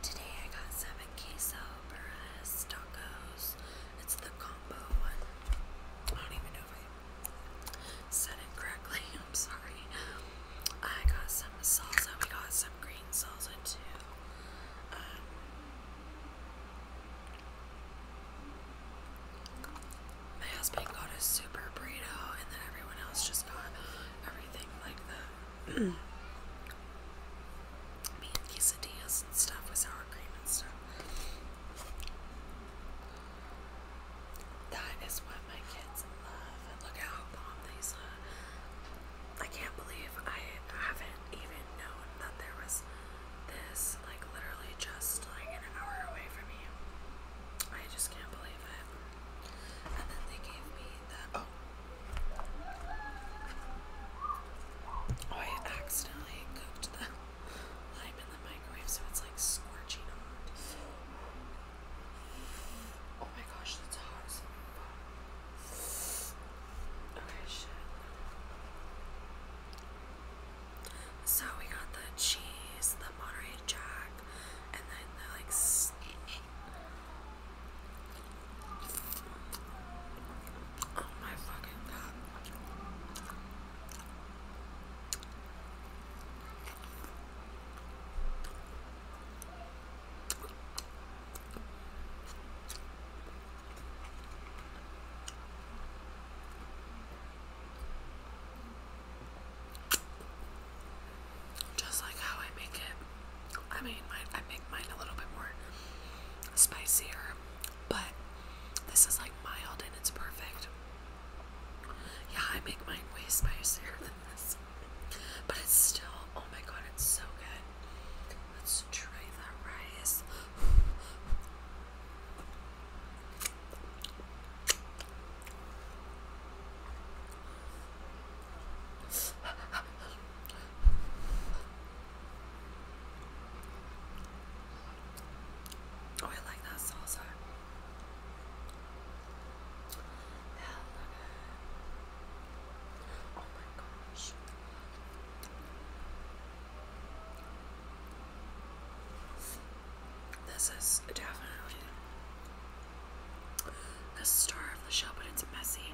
today I got seven queso burras tacos, it's the combo one, I don't even know if I said it correctly, I'm sorry, I got some salsa, we got some green salsa too, um, my husband got a super burrito and then everyone else just got everything like that. mean, quesadillas and stuff with sour cream and That is what my kids love. look how bomb I can't believe I haven't even known that there was this, like, literally just like an hour away from me. I just can't believe it. And then they gave me Oh. I accidentally cooked the lime in the microwave, so it's like scorching hot. Oh my gosh, that's hot as So we got the cheese, the Monterey Jack, and then oh my fucking god just like how I make it. I mean, I make mine a little bit more spicier, but this is like mild and it's perfect. Yeah, I make mine way spicier than this, but it's still, oh my god, it's so good. Let's try that rice. Oh, I like that salsa. Hell Oh my gosh. This is definitely the star of the show, but it's messy.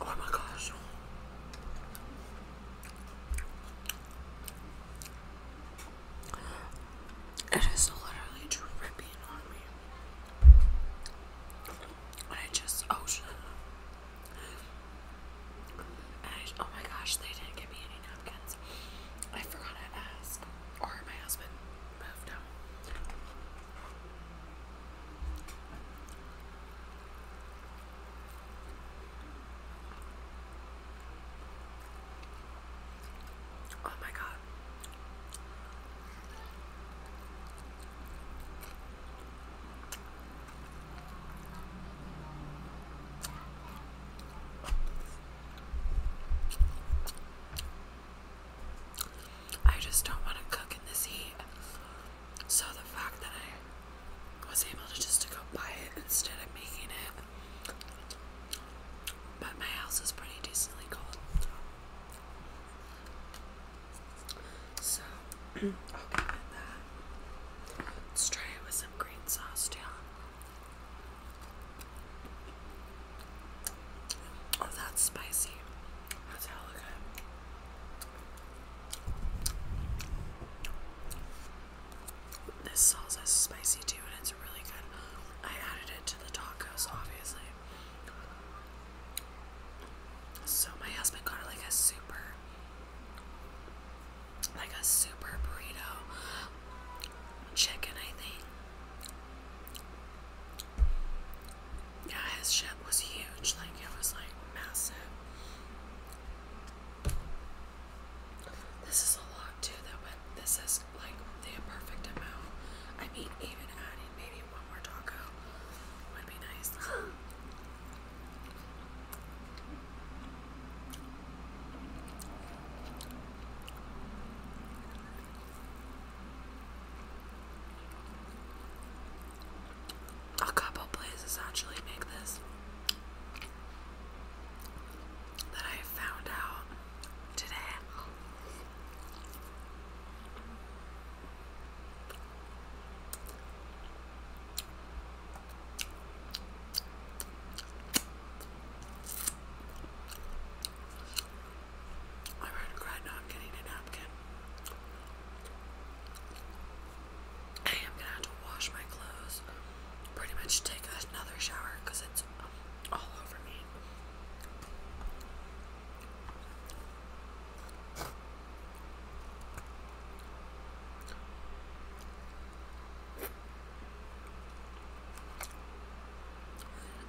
Oh my gosh. It is literally dripping on me. I just oh oh my gosh, they didn't give me any napkins. I forgot to ask, or my husband moved out. Oh my god. I just don't want to cook in this heat. So the fact that I was able to just to go buy it instead of making it. But my house is pretty decently cold. So, Let's try it with some green sauce, too. Oh, that's spicy. That's hella good. This salsa is spicy too, and it's really good. I added it to the tacos, obviously. So my husband got like a super, like a super burrito, chicken I think. Yeah, his shit was huge. Like it was like massive. This is a lot too, That went. this is just like the perfect amount. I mean, even adding maybe one more taco would be nice. A couple places actually make this that I found out today. I regret not getting a napkin. I am gonna have to wash my clothes. Pretty much take another shower it's all over me.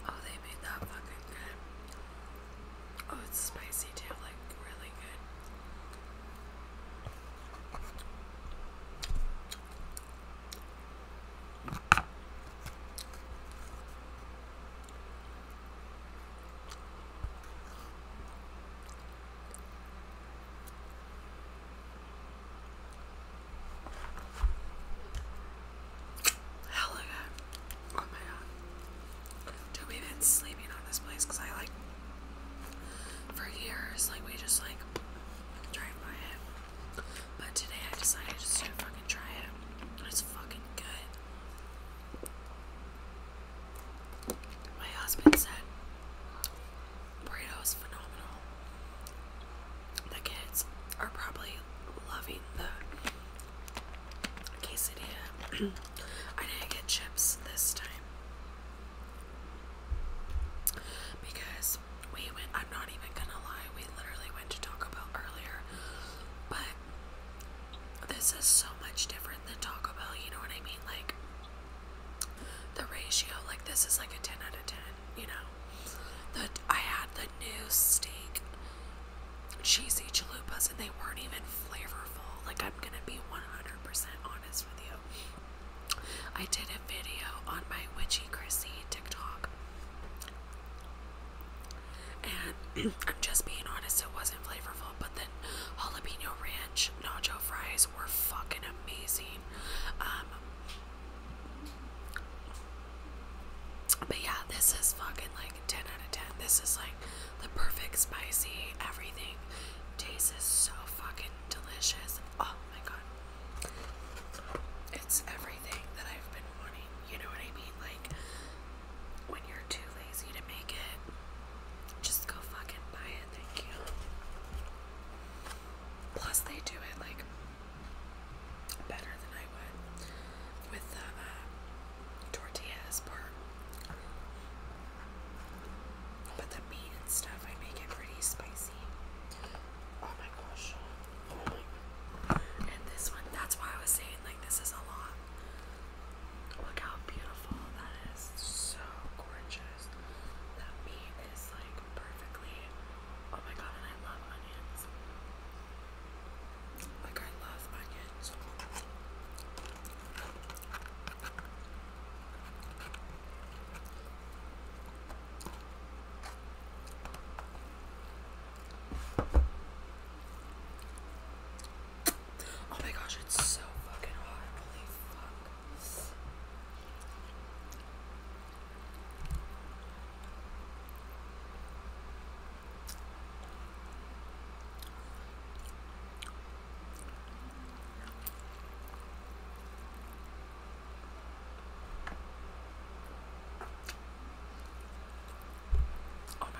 Oh, they made that fucking good. Oh, it's spicy too, like really good. Hell yeah. Oh my god. Dude, we been sleeping on this place because I like for years, like we just like drive by it. But today I decided just to fucking try it. It's fucking good. My husband said burrito is phenomenal. The kids are probably loving the quesadilla. I didn't get chips this time. Because we went, I'm not even gonna lie, we literally went to Taco Bell earlier, but this is so much different than Taco Bell, you know what I mean? Like, the ratio, like, this is like a 10 out of 10, you know? The, I had the new steak cheesy chalupas and they weren't even flavorful. Like, I'm gonna be 100% honest with you. I did a video on my witchy Chrissy TikTok. And I'm just being honest, it wasn't flavorful, but then jalapeno ranch nacho fries were fucking amazing. Um, but yeah, this is fucking like 10 out of 10. This is like the perfect spicy, everything tastes so fucking delicious. Oh my god. It's everything that I've been wanting. You know what I mean? Like, when you're too lazy to make it, just go fucking buy it. Thank you. Plus, they do it like better than I would with the uh, tortillas part. But the meat and stuff, I make it pretty spicy. Oh my gosh. Oh my. And this one, that's why I was saying, like, this is a lot. Look how beautiful that is. So gorgeous. That meat is, like, perfectly. Oh my god, and I love onions. Like, I love onions. Oh my gosh, it's so fucking hot. Holy fuck. Oh my God.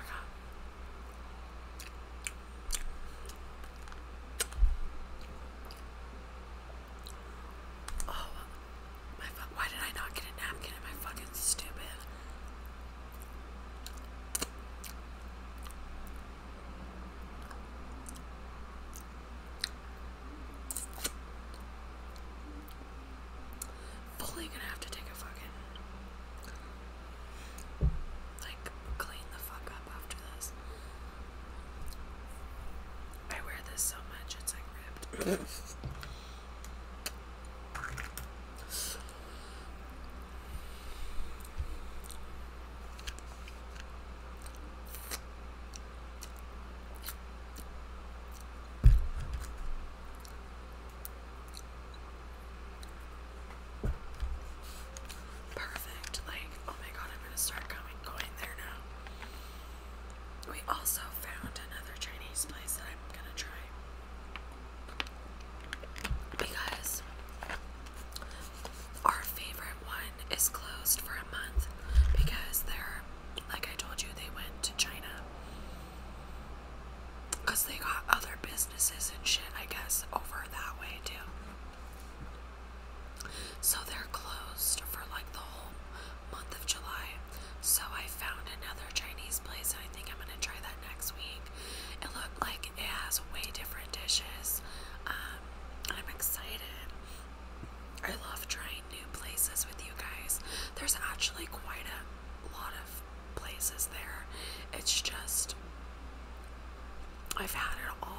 Oh, my fuck! Why did I not get a napkin? Am I fucking stupid? Fully gonna have to take a fucking like clean the fuck up after this. I wear this so much it's like ripped. Perfect. Like, oh my god, I'm gonna start coming going there now. We also found another Chinese place that I'm gonna try because our favorite one is closed for a month because they're like I told you they went to China because they got other businesses and shit I guess over that way too so they're closed for like the whole month of July so I found another Chinese place and I think I'm gonna try that next week it looked like it has way different dishes. Um, I'm excited. I love trying new places with you guys. There's actually quite a lot of places there. It's just I've had it all.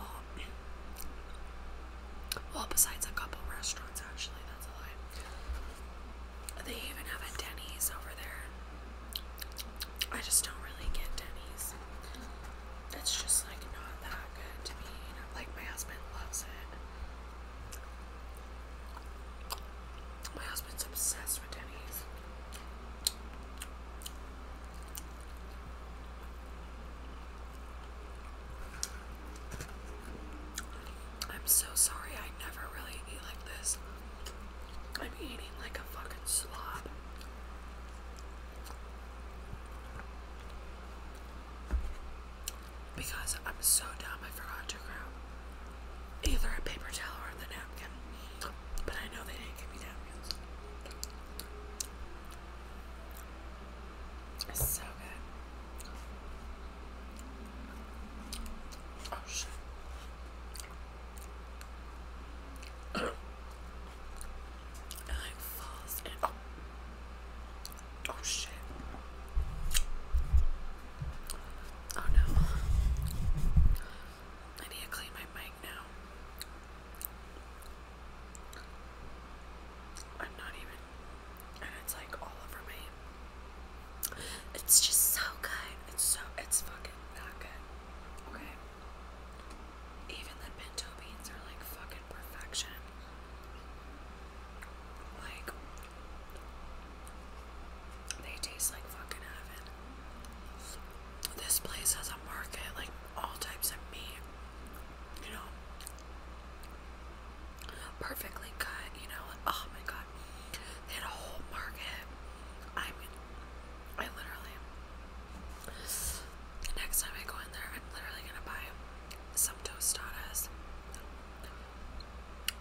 Well, besides a couple restaurants, actually, that's a lie. They even have a Denny's over there. I just don't really get Denny's. It's just like not that good to me. Like my husband loves it. My husband's obsessed with Denny's. I'm so sorry I never really eat like this. I'm eating like a fucking slob. Because I'm so dumb, I forgot to grab either a paper towel or the napkin. But I know they didn't give me napkins. so good. Oh shit and like oh, shit. Oh no. I need to clean my mic now. I'm not even, and it's like all over my it's just so good. It's so it's fucking that good. Okay. Even the pinto beans are like fucking perfection. Like they taste like fucking heaven. This place has a market, like all types of meat. You know perfectly cut, you know, oh my god, they had a whole market, I mean, I literally, next time I go in there, I'm literally gonna buy some tostadas,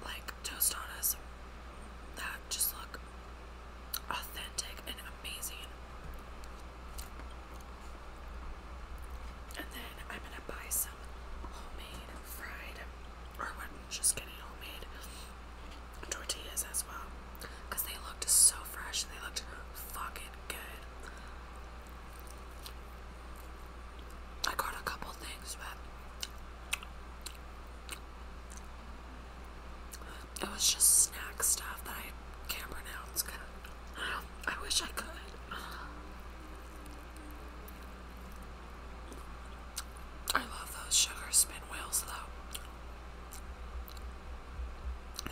like, tostadas that just look authentic and amazing, and then I'm gonna buy some homemade fried or just getting homemade tortillas as well because they looked so fresh and they looked fucking good. I got a couple things, but it was just snack stuff that I can't pronounce I wish I could. I love those sugar spin wheels though.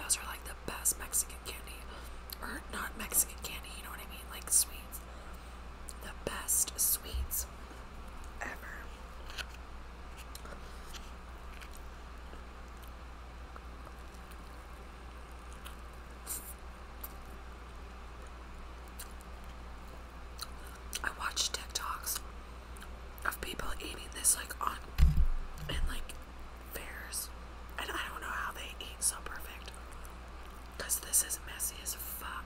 Those are like the best Mexican candy. Or not Mexican candy, you know what I mean? Like sweets. The best sweets ever. I watch TikToks of people eating this like on and like fairs, and I don't know how they eat so perfect because this is messy as fuck.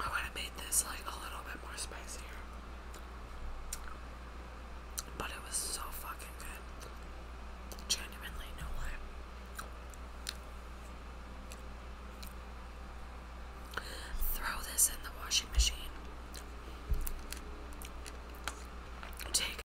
I would have made this like a little bit more spicier. But it was so fucking good. Genuinely, no lie. Throw this in the washing machine. Take